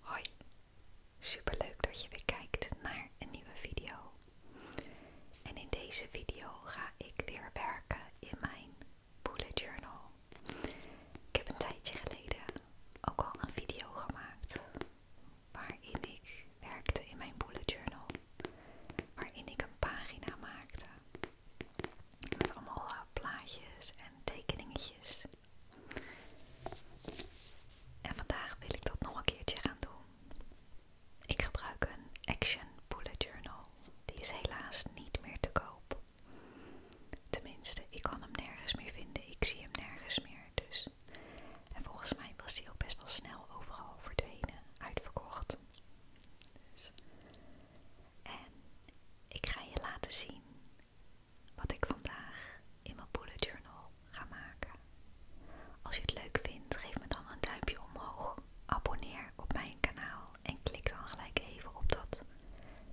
Hoi, superleuk dat je weer kijkt naar een nieuwe video. En in deze video ga ik weer werken in mijn bullet journal. Ik heb een tijdje geleden ook al een video gemaakt waarin ik werkte in mijn bullet journal, waarin ik een pagina maakte. Met allemaal eh, plaatjes en tekeningetjes. En vandaag wil ik dat nog een keertje gaan doen. Ik gebruik een Action Bullet Journal. Die is helaas niet meer te koop. Tenminste, ik kan hem nergens meer vinden. Ik zie hem nergens meer. Dus. En volgens mij was die ook best wel snel overal verdwenen, uitverkocht. Dus. En ik ga je laten zien wat ik vandaag in mijn bullet journal ga maken. Als je het leuk vindt, geef me dan een duimpje omhoog. Abonneer op mijn kanaal en klik dan gelijk even op dat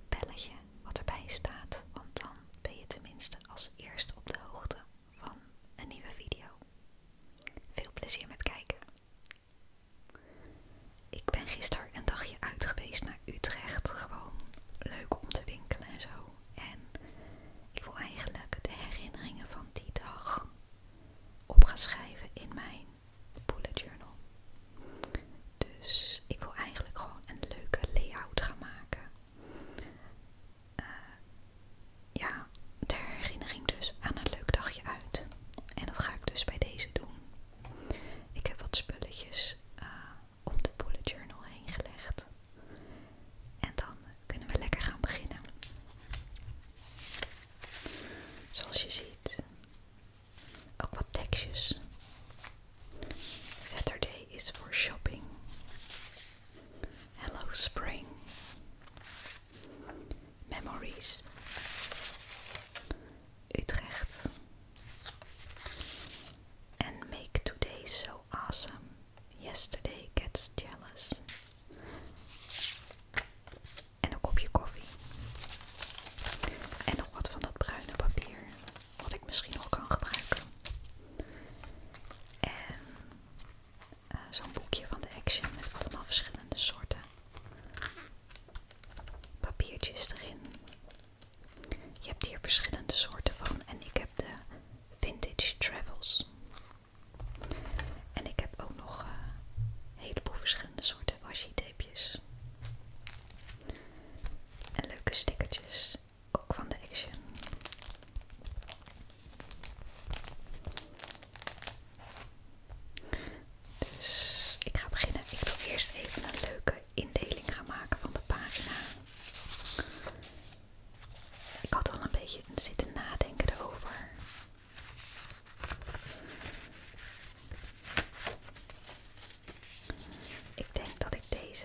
belletje wat erbij staat, want dan ben je tenminste als eerste op de hoogte van een nieuwe video. Veel plezier met kijken. Ik ben gisteren een dagje uit geweest naar Utrecht. Gewoon leuk om te winkelen en zo. En ik wil eigenlijk de herinneringen van die dag op in mijn bullet journal. Dus ik wil eigenlijk gewoon een leuke layout gaan maken. Eh, ja, ter herinnering dus aan een leuk dagje uit. En dat ga ik dus bij deze doen. Ik heb wat spulletjes eh, op om de bullet journal heen gelegd. En dan kunnen we lekker gaan beginnen. Zoals je ziet, ook wat tekstjes. Saturday is voor shopping. Hello spring. Memories. Utrecht. And make today so awesome. Yesterday gets jealous. En een kopje koffie. En nog wat van dat bruine papier. Wat ik misschien nog kan gebruiken. En eh, zo'n boekje van de Action met allemaal verschillende soorten papiertjes erin. Je hebt hier verschillende soorten van en ik heb de Vintage Travels. En ik heb ook nog eh, een heleboel verschillende soorten washi tapejes. En leuke stickertjes, ook van de Action. Dus ik ga beginnen. Ik wil eerst even een leuke indeling gaan maken van de pagina. Ik had al een beetje zitten nadenken erover. Ik denk dat ik deze.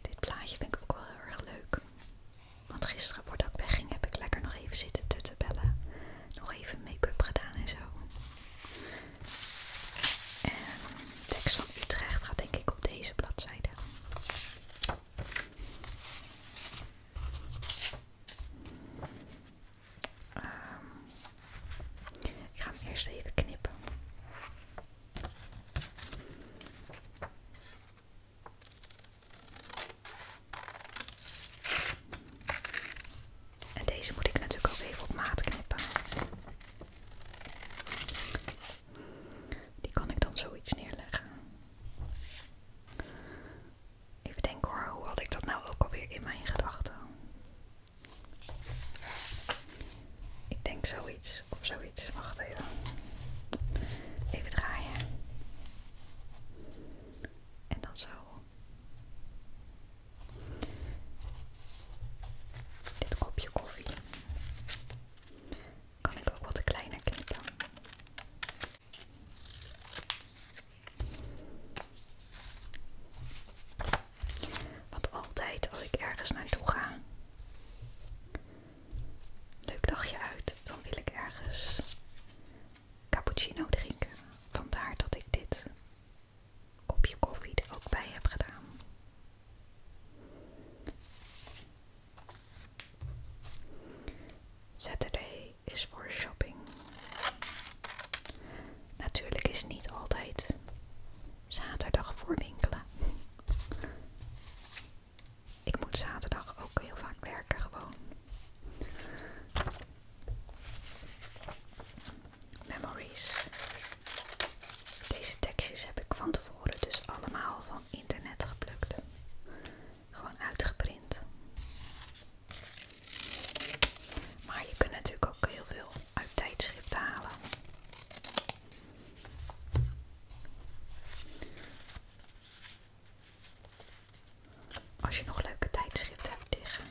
Dit plaatje vind ik ook wel heel erg leuk. Want gisteren voordat ik wegging heb ik lekker nog even zitten bellen, Nog even make-up gedaan en zo. En de tekst van Utrecht gaat denk ik op deze bladzijde. Ehm, ik ga hem eerst even knippen. En deze moet ik natuurlijk ook even op maat knippen. Die kan ik dan zoiets neerleggen. Even denken hoor, hoe had ik dat nou ook alweer in mijn gedachten? Ik denk zoiets of zoiets. Wacht even. Even draaien. En dan zo. Dit kopje koffie kan ik ook wat kleiner knippen. Want altijd als ik ergens naartoe ga, leuk dagje uit, dan wil ik ergens cappuccino drinken. Vandaar dat ik dit kopje koffie er ook bij heb gedaan. Saturday is voor shopping. Natuurlijk is niet altijd zaterdag voor winkelen. Ik moet zaterdag ook heel vaak werken gewoon. Memories. Deze tekstjes heb ik van tevoren dus allemaal van internet geplukt. Gewoon uitgeprint. Maar je kunt natuurlijk ook heel veel uit tijdschriften halen. Als je nog leuke tijdschriften hebt liggen,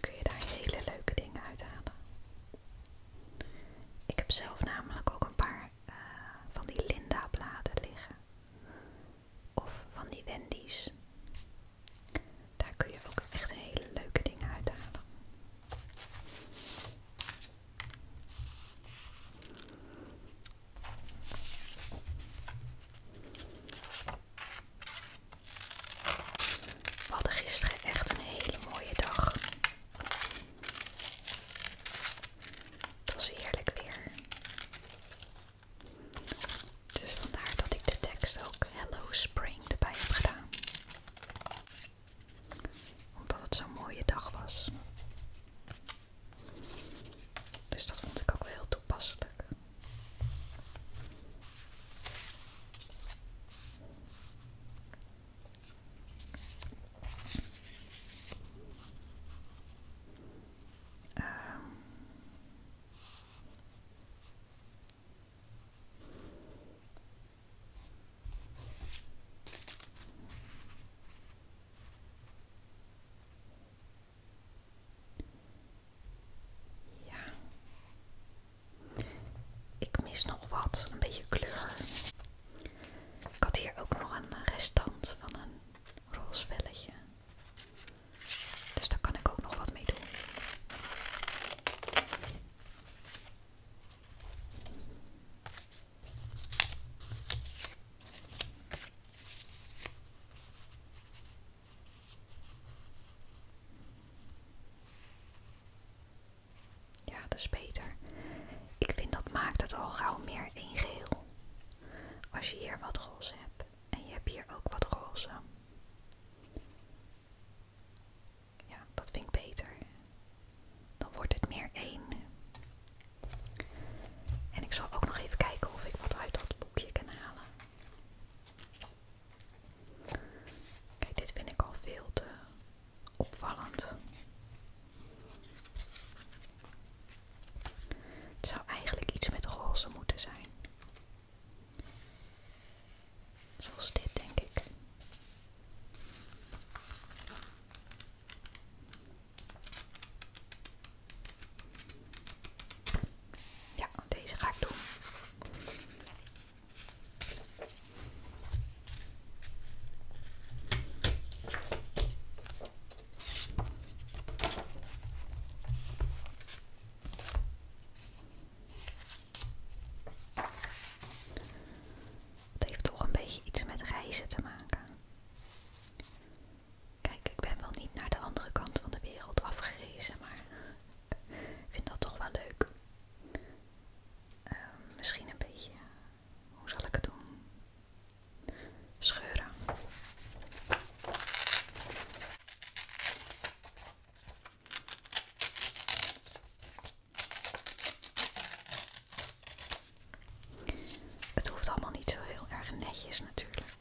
kun je daar hele leuke dingen uithalen. Ik heb zelf namelijk ook een paar eh, van die Linda-bladen liggen. Of van die Wendy's. Daar kun je ook echt hele leuke dingen uithalen. We hadden gisteren echt een hele mooie dag. Het was heerlijk weer. Dus vandaar dat ik de tekst ook Hello Spring erbij heb gedaan omdat het zo'n mooie dag was. Dus dat vond ik ook wel heel toepasselijk. Uh, ja. Ik mis nog wat, een beetje kleur. Ik had hier ook nog een restant van een roze velletje. Dus daar kan ik ook nog wat mee doen. Ja, dat is beter. Ik vind dat maakt het al gauw meer een geheel. Als je hier wat roze hebt en je hebt hier ook wat roze. Ja, dat vind ik beter. Dan wordt het meer één. En ik zal ook nog even kijken of ik wat uit dat boekje kan halen. Kijk, dit vind ik al veel te opvallend. Het zou eigenlijk iets met roze moeten zijn. Zoals dit, denk ik. Ja, deze ga ik doen. Het heeft toch een beetje iets met reizen te maken. Kijk, ik ben wel niet naar de andere kant van de wereld afgerezen, maar ik vind dat toch wel leuk. Ehm, misschien een beetje, hoe zal ik het doen? Scheuren. Het hoeft allemaal niet zo heel erg netjes natuurlijk.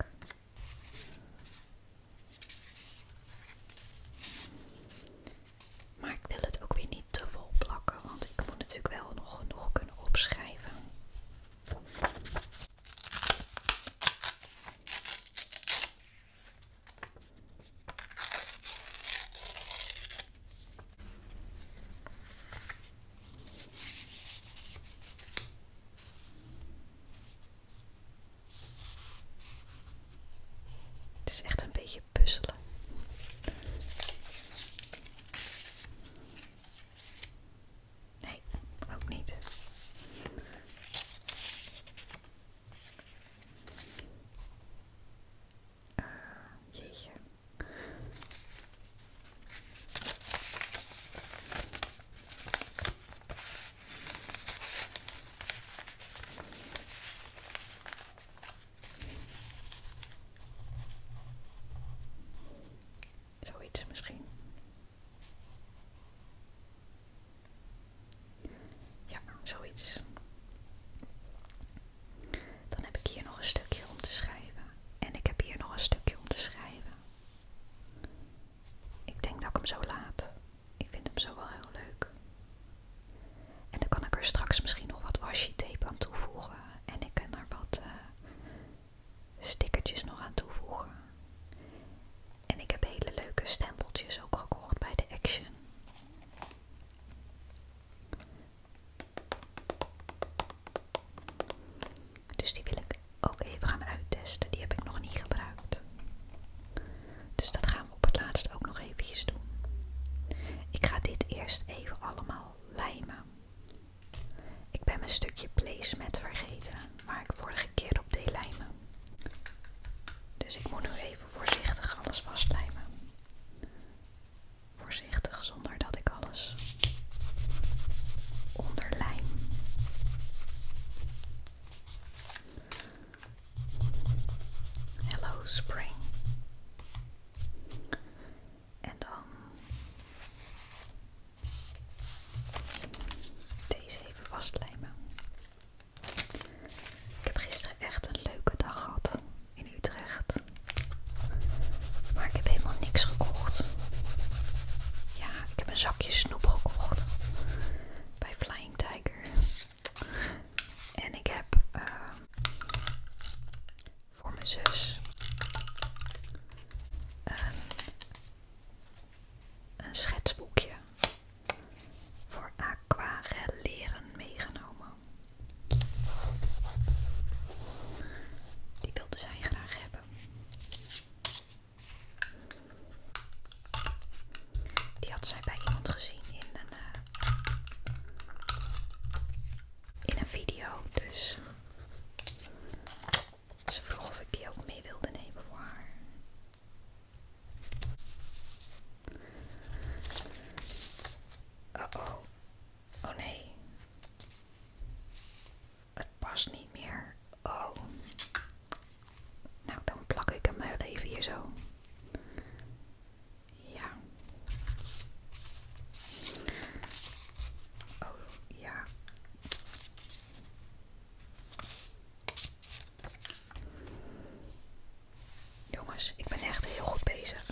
Maar ik wil het ook weer niet te vol plakken, want ik moet natuurlijk wel nog genoeg kunnen opschrijven. Het is echt een beetje puzzelen. Nee, ook niet. Zoiets misschien. Ja, zoiets. Dan heb ik hier nog een stukje om te schrijven. En ik heb hier nog een stukje om te schrijven. Ik denk dat ik hem zo laat. Ik vind hem zo wel heel leuk. En dan kan ik er straks misschien nog wat washi tape aan toevoegen. En ik kan er wat eh, stickertjes nog aan toevoegen. En ik heb hele leuke stempeltjes ook gekocht bij de Action. Dus die wil ik ook even gaan uittesten. Die heb ik nog niet gebruikt. Dus dat gaan we op het laatst ook nog eventjes doen. Ik ga dit eerst even allemaal lijmen. Ik ben mijn stukje placemat vergeten, waar ik vorige keer op deed lijmen. Dus ik moet nu even voorzichtig alles vastlijmen. Voorzichtig zonder dat ik alles onderlijn. Hello Spring. En dan deze even vastlijmen. Ik heb gisteren echt een leuke dag gehad in Utrecht. Maar ik heb helemaal niks gekocht. Ja, ik heb een zakje snoep gekocht bij Flying Tiger. En ik heb ehm, voor mijn zus een, ehm, een schetsboekje voor leren meegenomen. Die wilde zij graag hebben. Die had zij bij iemand gezien in een, eh, in een video, dus ze vroeg of ik die ook mee wilde nemen voor haar. Oh oh. Oh nee. Het past niet meer. Oh. Nou, dan plak ik hem even hier zo. Ja. Oh ja. Jongens, ik ben echt heel goed bezig.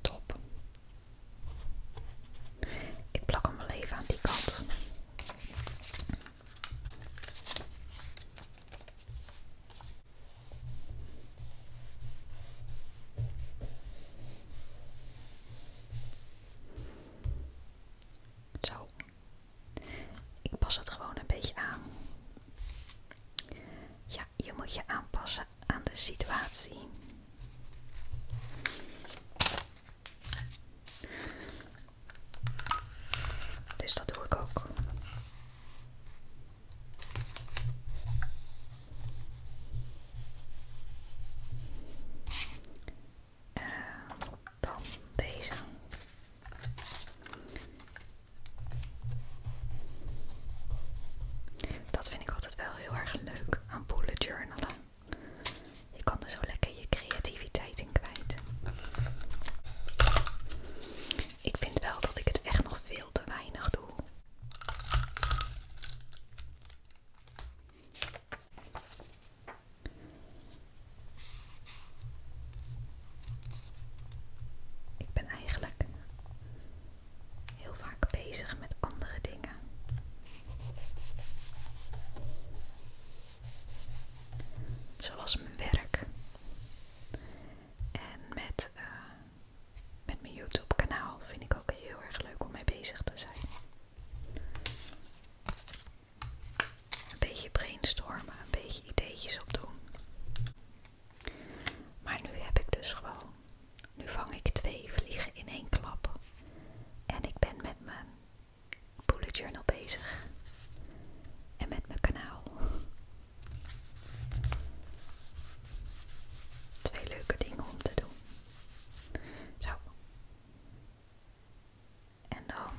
Top. Ik plak hem wel even aan die kant. Zo. Ik pas het gewoon een beetje aan. Ja, je moet je aanpassen aan de situatie. Dus dat doe ik ook. Eh, dan deze. Dat vind ik altijd wel heel erg leuk aan bullet journalen. Je kan er zo lekker je creativiteit in kwijt. Ik vind wel dat ik het echt nog veel te weinig doe. Ik ben eigenlijk heel vaak bezig met andere dingen. Zoals mijn werk. En met, eh, met mijn YouTube kanaal vind ik ook heel erg leuk om mee bezig te zijn. Een beetje brainstormen, een beetje ideetjes opdoen. Maar nu heb ik dus gewoon. Nu vang ik twee vliegen in één klap. En ik ben met mijn bullet journal bezig. En met mijn kanaal. Twee leuke dingen om te doen. Zo. En dan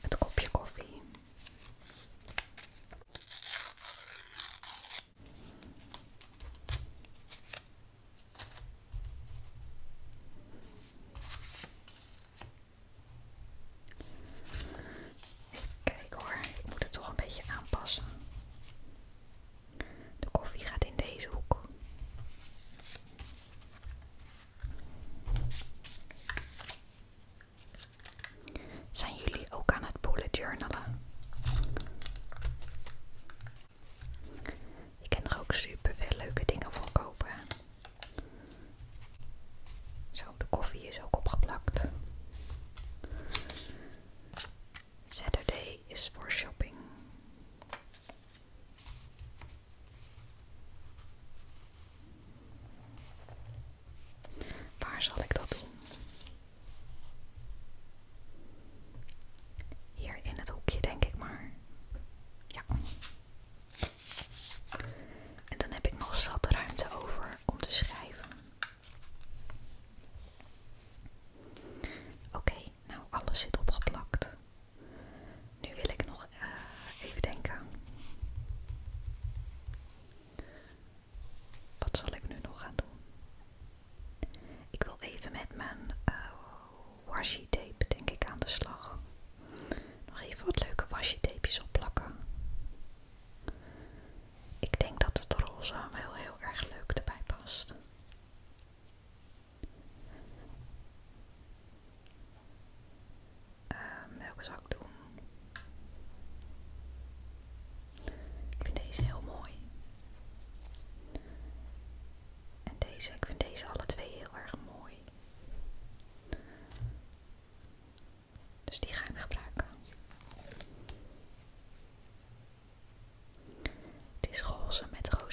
het kopje koffie. Kijk hoor, ik moet het toch een beetje aanpassen. De koffie gaat in deze hoek. Zijn jullie ook aan het bullet journalen? Je kan er ook super veel leuke dingen voor kopen. Zo, de koffie is ook opgeplakt. Saturday is voor shopping. Waar zal ik dat doen? Hier in het hoekje, denk ik maar. Ja. En dan heb ik nog zat ruimte over om te schrijven. Oké, nou alles zit opgeplakt. Nu wil ik nog eh, even denken. Wat zal ik nu nog gaan doen? Ik wil even met mijn eh, washi tape denk ik aan de slag. Nog even wat leuke washi tapejes opplakken. Ik denk dat het roze heel heel erg leuk erbij past. Ehm, welke zou ik doen? Ik vind deze heel mooi. En deze, ik vind deze alle twee heel erg mooi. Dus die ga ik gebruiken. Het is roze met roze.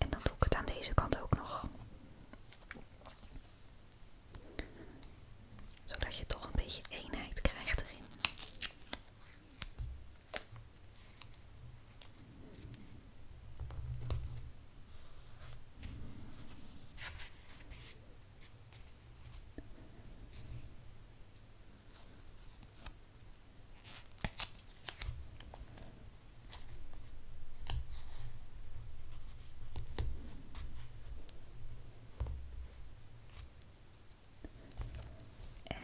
En dan doe ik het aan deze kant ook nog. Zodat je toch een beetje eenheid krijgt erin. En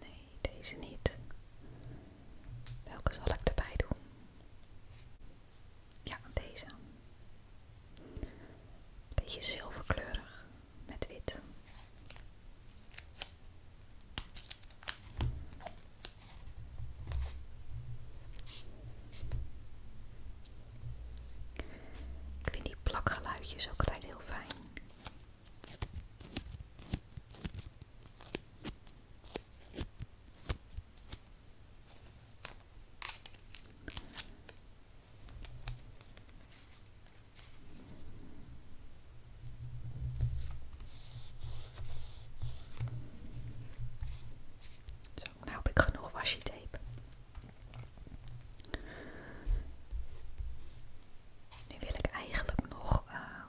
nee, deze niet. Welke zal ik erbij doen? Ja, deze. Beetje zilverkleurig met wit. Ik vind die plakgeluidjes ook altijd heel fijn. Zo, nou heb ik genoeg washi tape. Nu wil ik eigenlijk nog. Ehm,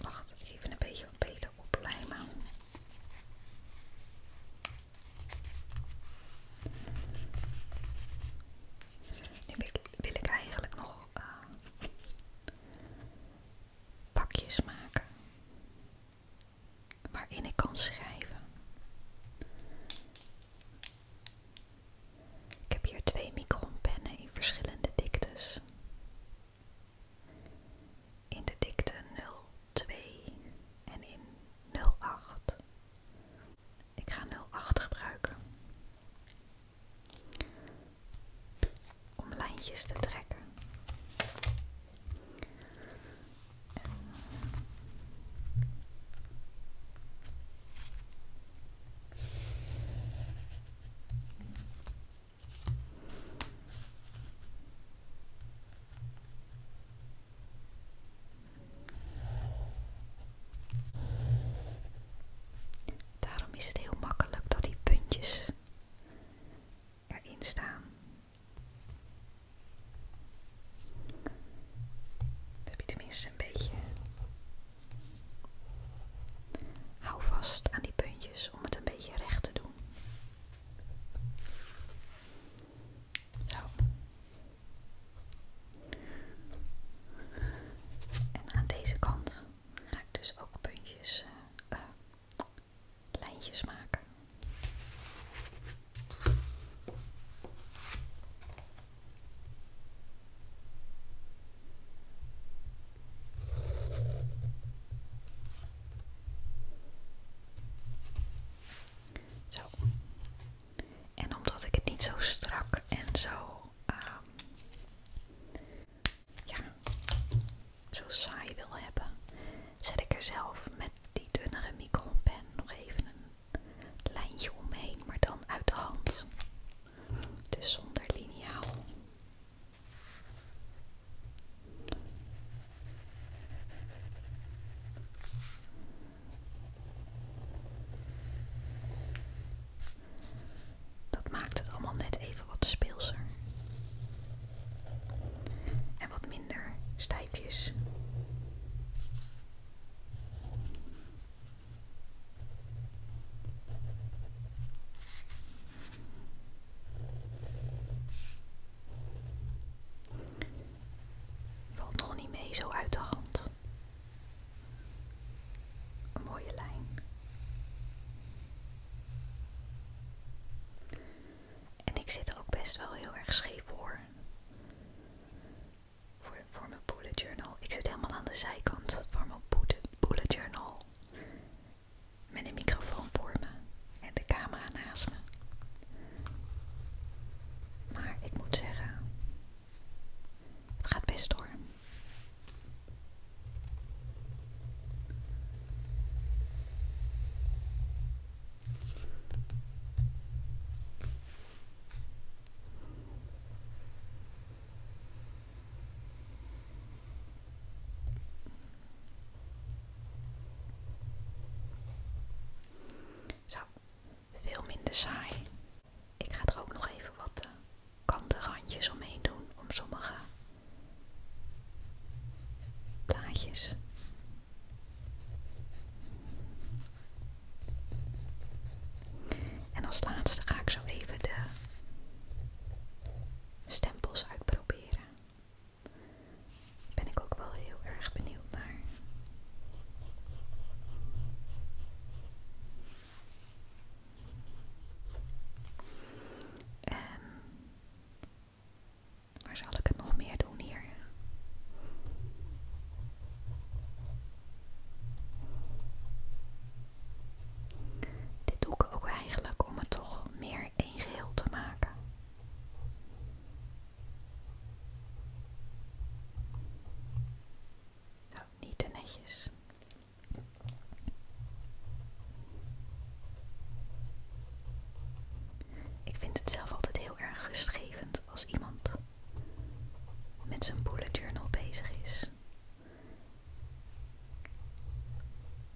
wacht, even een beetje beter oplijmen. Nu wil ik eigenlijk nog eh, vakjes pakjes maken waarin ik kan schrijven. Ik heb hier twee micronpennen in verschillende diktes. In de dikte 0 02 en in 08. Ik ga 08 gebruiken om lijntjes te trekken. En Daarom is het heel makkelijk dat die puntjes erin staan. We heb je een beetje hou vast aan die puntjes om het een beetje recht te doen. Zo. En aan deze kant ga ik dus ook puntjes, eh, eh, lijntjes maken. Zo. En omdat ik het niet zo strak en zo, ehm, ja, zo saai wil hebben, zet ik er zelf met die dunnere micropen nog even een lijntje omheen, maar dan uit de hand. Dus zonder liniaal. Dat maakt het allemaal net even wat speelser. En wat minder stijfjes. Valt nog niet mee zo uit de hand. Een mooie lijn. En ik zit ook best wel heel erg scheef voor. Voor, mijn bullet journal. Ik zit helemaal aan de zijkant van mijn bullet journal. Met een microfoon voor me en de camera naast me. Maar ik moet zeggen, het gaat best door. Zo, veel minder saai. Ik ga er ook nog even wat eh, kanten randjes omheen doen om sommige plaatjes. En als laatste ga ik zo even de stempels uitproberen. Ben ik ook wel heel erg benieuwd naar. En waar zal ik het nog meer doen hier? Dit doe ik ook eigenlijk om het toch meer één geheel te maken. Nou, niet te netjes. Ik vind het zelf altijd heel erg rustgevend als iemand met zijn bullet journal bezig is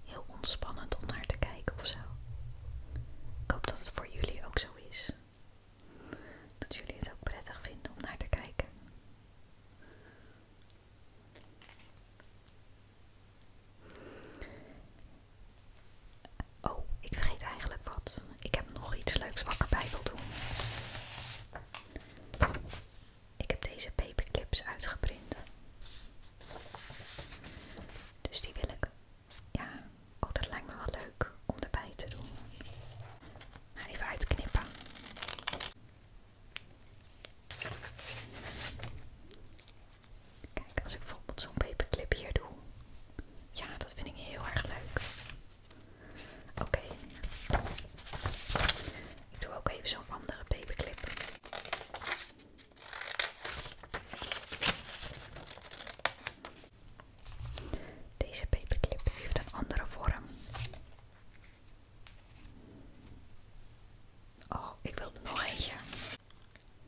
heel ontspannend om naar te kijken of zo. Ik hoop dat het voor jullie ook zo is. Dat jullie het ook prettig vinden om naar te kijken. Oh, ik vergeet eigenlijk wat. Ik heb nog iets leuks wat ik erbij wil doen. Ik heb deze paperclips uitgeprint. Dus die wil ik ja, ook dat lijkt me wel leuk om erbij te doen. Even uitknippen. Kijk, als ik bijvoorbeeld zo'n paperclip hier doe. Ja, dat vind ik heel erg leuk. Oké. Ik doe ook even zo'n andere paperclip. Deze paperclip heeft een andere vorm. Oh, ik wil er nog eentje.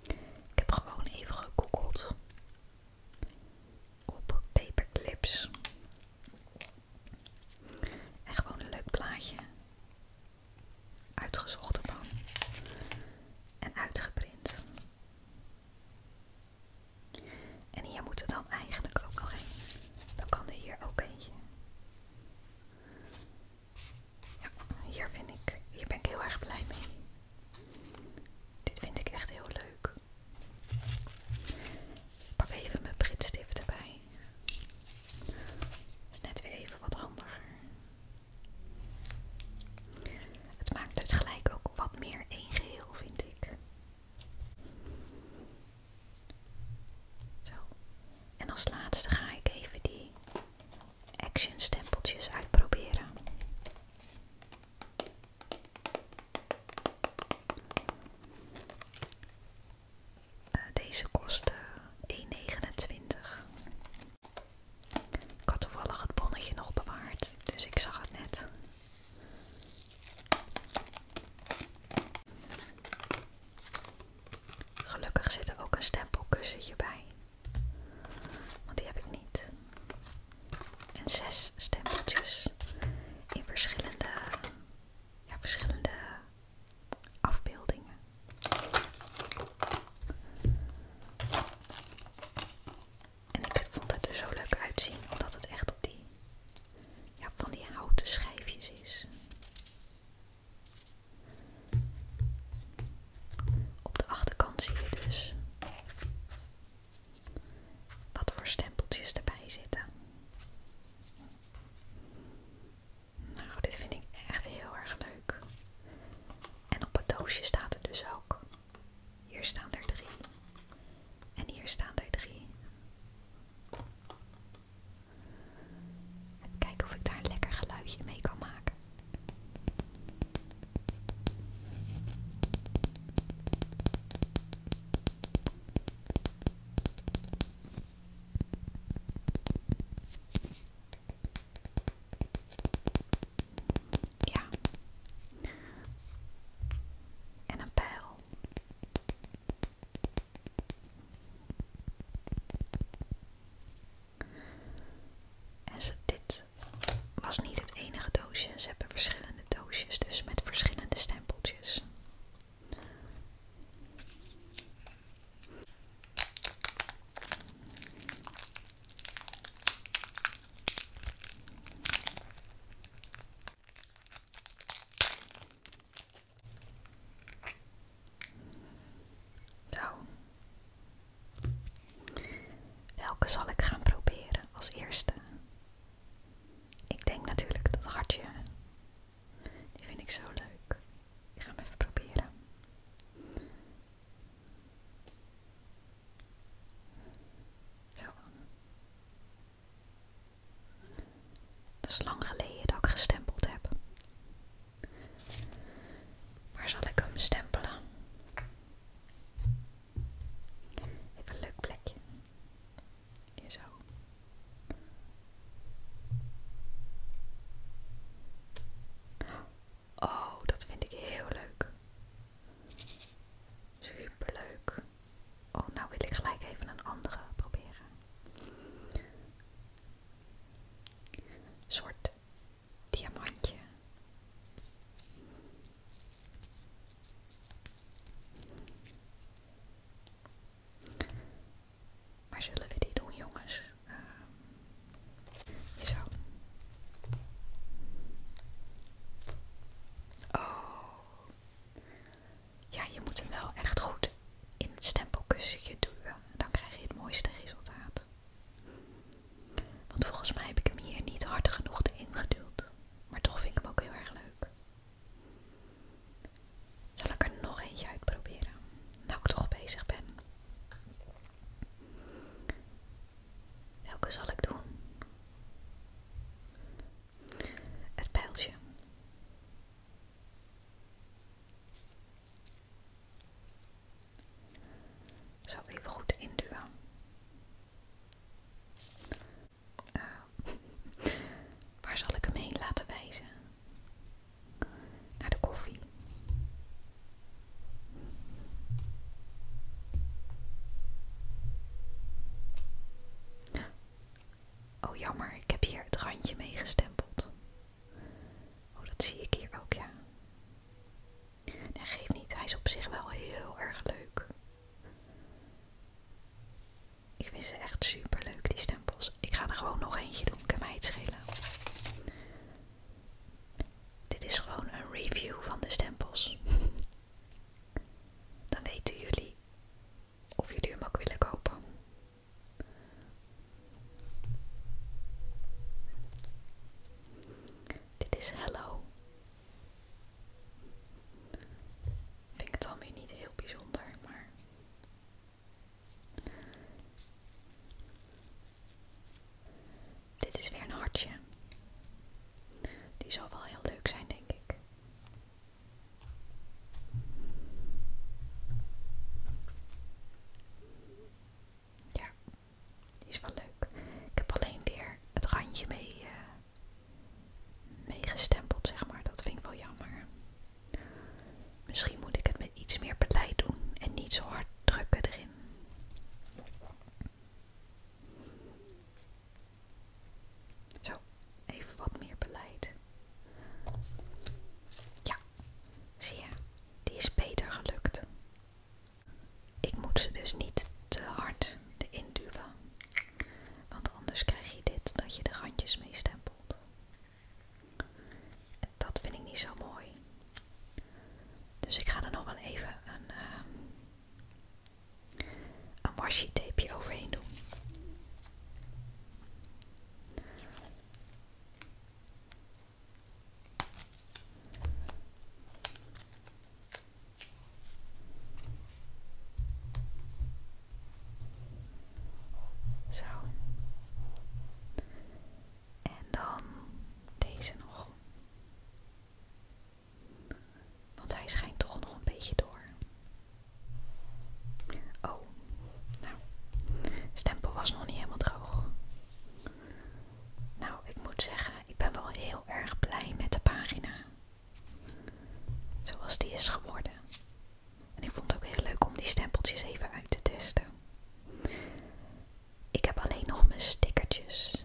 Ik heb gewoon even gegoogeld op paperclips. En gewoon een leuk plaatje uitgezocht van en uitgeprint. En hier moet er dan eigenlijk ook nog een. Dan kan er hier ook eentje. hier vind ik, hier ben ik heel erg blij mee. Dit vind ik echt heel leuk. Ik pak even mijn printstift erbij. Dat is net weer even wat handiger. Het maakt het gelijk ook wat meer een geheel, vind ik. Zo. En als laatste ga ik even die action stempeltjes uitproberen. Eh, deze kosten 1,29. Ik had toevallig het bonnetje nog bewaard, dus ik zag het net. Gelukkig zit er ook een stempelkussetje bij. Want die heb ik niet. En zes stempeltjes in verschillende afbeeldingen. En ik vond het er zo leuk uitzien, omdat het echt op die, van die houten schijfjes is. Op de achterkant zie je dus wat voor stempeltjes erbij zitten. Nou, dit vind ik echt heel erg leuk. En op het doosje staat het dus ook. Hier staan er drie. En hier staan er drie. Kijk of ik daar een lekker geluidje mee kan maken. Ja. En een pijl. En ze, dit was niet het enige doosje. Ze hebben verschillende doosjes, dus met verschillende stempeltjes. Nou. Welke zal ik gaan proberen als eerste? Ik denk natuurlijk dat hartje. Die vind ik zo leuk. Ik ga hem even proberen. Dat is lang geleden dat ik gestempeld heb. Waar zal ik hem stempelen? Even een leuk plekje. Hier Oh, dat vind ik heel leuk. Super leuk. Oh, nou wil ik gelijk even een andere proberen. Soort diamantje. Maar zullen we die doen, jongens? zo. Ehm, oh. Ja, je moet hem wel echt goed in het stempelkussentje duwen. Dan krijg je het mooiste resultaat. Want volgens mij heb ik hem hier niet hard genoeg ingeduwd. Maar toch vind ik hem ook heel erg leuk. Zal ik er nog eentje uitproberen? Nou ik toch bezig ben. Welke zal ik doen? Het pijltje. Zou ik even goed induwen. Eh, waar zal ik hem heen laten wijzen? naar de koffie. Oh jammer, ik heb hier het randje meegestempeld. Oh, dat zie ik hier ook, ja. Nee, geeft niet, hij is op zich wel heel erg leuk. Ik vind ze echt super leuk, die stempels. Ik ga er gewoon nog eentje doen, kan mij iets schelen. Dit is gewoon een review van de stempels. Dan weten jullie of jullie hem ook willen kopen. Dit is Hello. Vind ik het dan niet heel bijzonder, maar dit is weer een hartje. Die zal wel heel leuk zijn, denk ik. Ja, die is wel leuk. Ik heb alleen weer het randje mee, mee eh, meegestempeld, zeg maar. Dat vind ik wel jammer. Misschien moet ik het met iets meer beleid doen en niet zo hard drukken erin. Zo, even wat meer beleid. Ja, zie je, die is beter gelukt. Ik moet ze dus niet te hard erin duwen, want anders krijg je dit dat je de randjes mee stempelt. Dat vind ik niet zo mooi. Dus ik ga er nog wel even een, um, een washi tapeje overheen doen. Zo. En dan deze nog. Want hij schijnt toch nog een beetje door. Oh, nou, stempel was nog niet helemaal droog. Nou, ik moet zeggen, ik ben wel heel erg blij met de pagina. Zoals die is geworden. En ik vond het ook heel leuk om die stempeltjes even uit te testen. Ik heb alleen nog mijn stickertjes.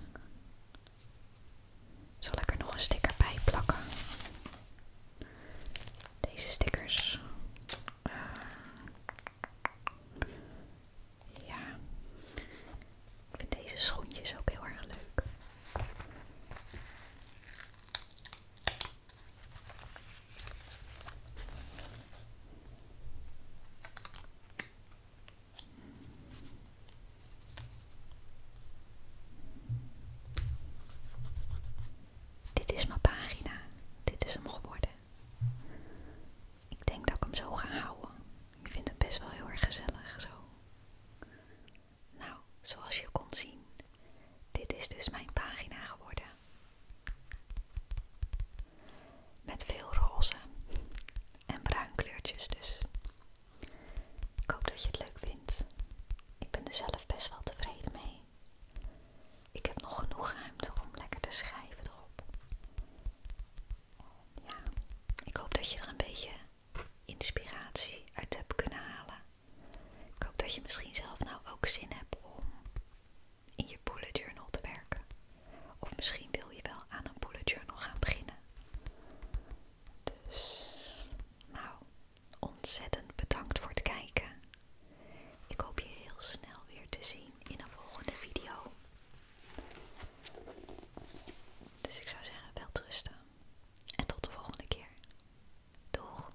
Zal ik er nog een sticker bij plakken? Deze stickers. Eh, ja. Ik vind deze schoentjes ook heel erg leuk. Dit is mijn pagina. Dit is hem geworden. Ik denk dat ik hem zo ga houden. Ik vind het best wel heel erg gezellig zo. Nou, zoals je kon zien, dit is dus mijn pagina geworden. Met veel roze en bruin kleurtjes dus. Ik hoop dat je het leuk vindt. Ik ben er zelf best wel tevreden mee. Ik heb nog genoeg ruimte om lekker te schrijven erop. Ja, ik hoop dat je er een beetje inspiratie uit hebt kunnen halen. Ik hoop dat je misschien zelf nou ook zin hebt om in je bullet journal te werken. Of misschien wil je wel aan een bullet journal gaan beginnen. Dus, nou, ontzettend bedankt voor het kijken. Ik hoop je heel snel weer te zien in een volgende video. Dus ik zou zeggen, wel rusten. En tot de volgende keer. Doeg!